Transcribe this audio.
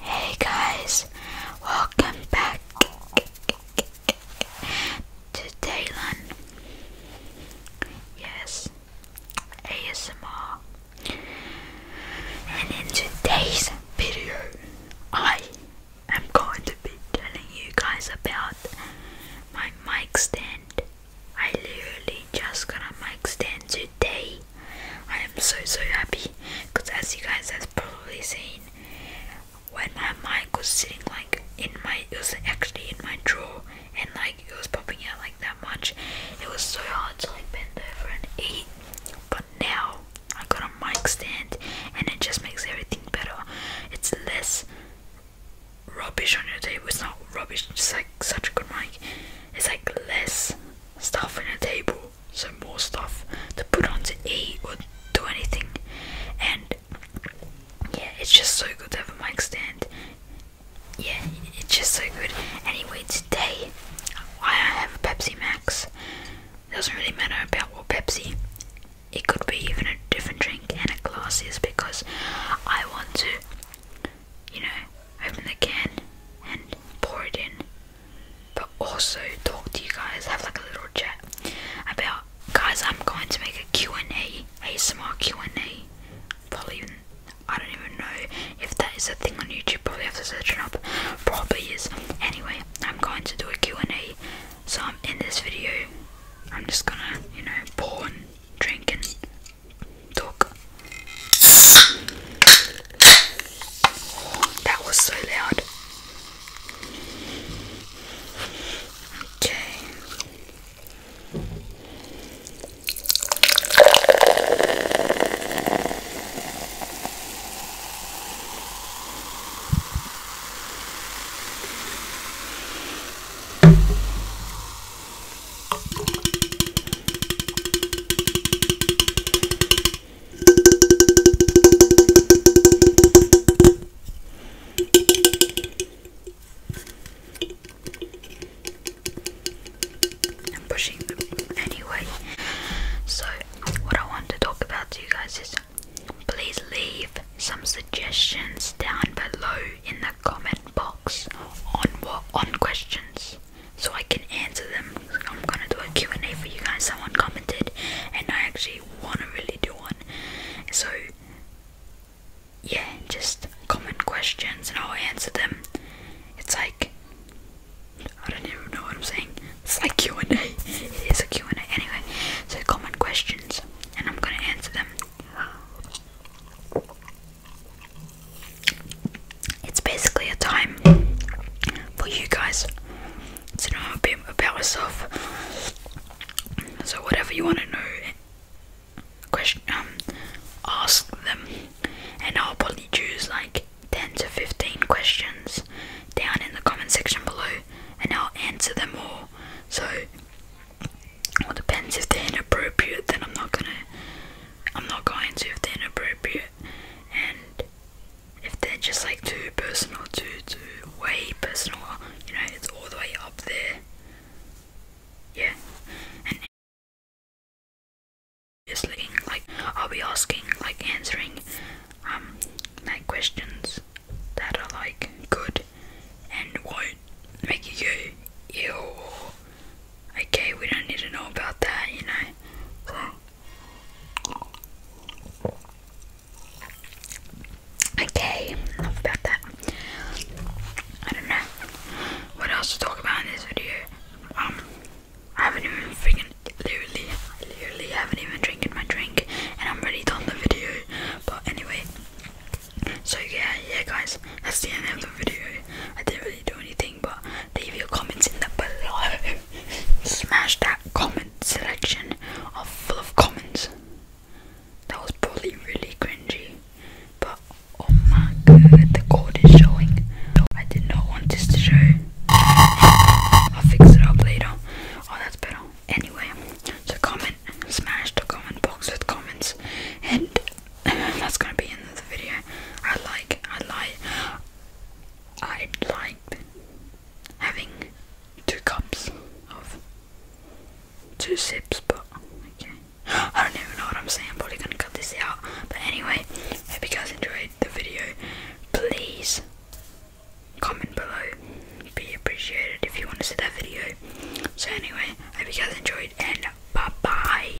Hey guys, welcome back to Daylan. Yes, ASMR. And in today's video, I am going to be telling you guys about my mic stand. I literally just got a mic stand today I am so so happy because as you guys have probably seen when my mic was sitting like in my it was actually in my drawer and like it was popping out like that much it was so hard to like bend over and eat but now I got a mic stand and it just makes everything better it's less rubbish on your table it's not rubbish it's like such a good mic it's like less stuff on a table, some more stuff to put on to eat or do anything. And yeah, it's just so good to have a mic stand. Yeah, it's just so good. Anyway, today I have a Pepsi Max. Doesn't really matter about what Pepsi. It could be even a different drink and a glass is because I want to, you know, open the can and pour it in but also talk to you guys, have like a little chat about guys I'm going to make a Q&A, a ASMR Q&A, probably even, I don't even know if that is a thing on YouTube, probably have to search it up, probably is, anyway, I'm going to do a Q&A, so I'm in this video, I'm just gonna, you know, pour drink and talk. That was so loud. Okay. I'm pushing anyway. So, what I want to talk about to you guys is please leave some suggestions down below in the comment box on what on questions so I can answer them. I'm gonna do a Q&A for you guys. Someone commented, and I actually wanna really do one. So yeah, just comment questions and I'll answer them. It's like I don't even know what I'm saying. It's like Q&A. It is a Q&A anyway. So comment questions and I'm gonna answer them it's basically a time for you guys to know a bit about yourself. So whatever you want to know, question um, ask them, and I'll probably choose like ten to fifteen questions down in the comment section below, and I'll answer them all. So it depends if they're inappropriate, then I'm not gonna. I'm not going to if they're inappropriate, and if they're just like too personal, too too way personal, you know, it's all the way up there. Yeah, and just looking like I'll be asking, like answering, um, like questions that are like good and won't make you go Okay, we don't need to know about that, you know. Okay, enough about that. I don't know what else to talk about in this video. Um, I haven't even freaking literally, literally haven't even drinking my drink, and I'm already done the video. But anyway, so yeah, yeah, guys, that's the end of the video. I didn't really do anything but leave your comments in the below. Smash that comment selection of full of comments. That was probably really cringy, but oh my god, the cord is showing. I did not want this to show. I'll fix it up later. Oh, that's better. Anyway, so comment, smash the comment box with comments, and that's gonna be the the video. I like, I like, I would like having two cups of two sips, but okay. I don't even know what I'm saying. I'm probably gonna cut this out. But anyway, hope you guys enjoyed the video. Please comment below. Be appreciated if you want to see that video. So anyway, hope you guys enjoyed and bye bye.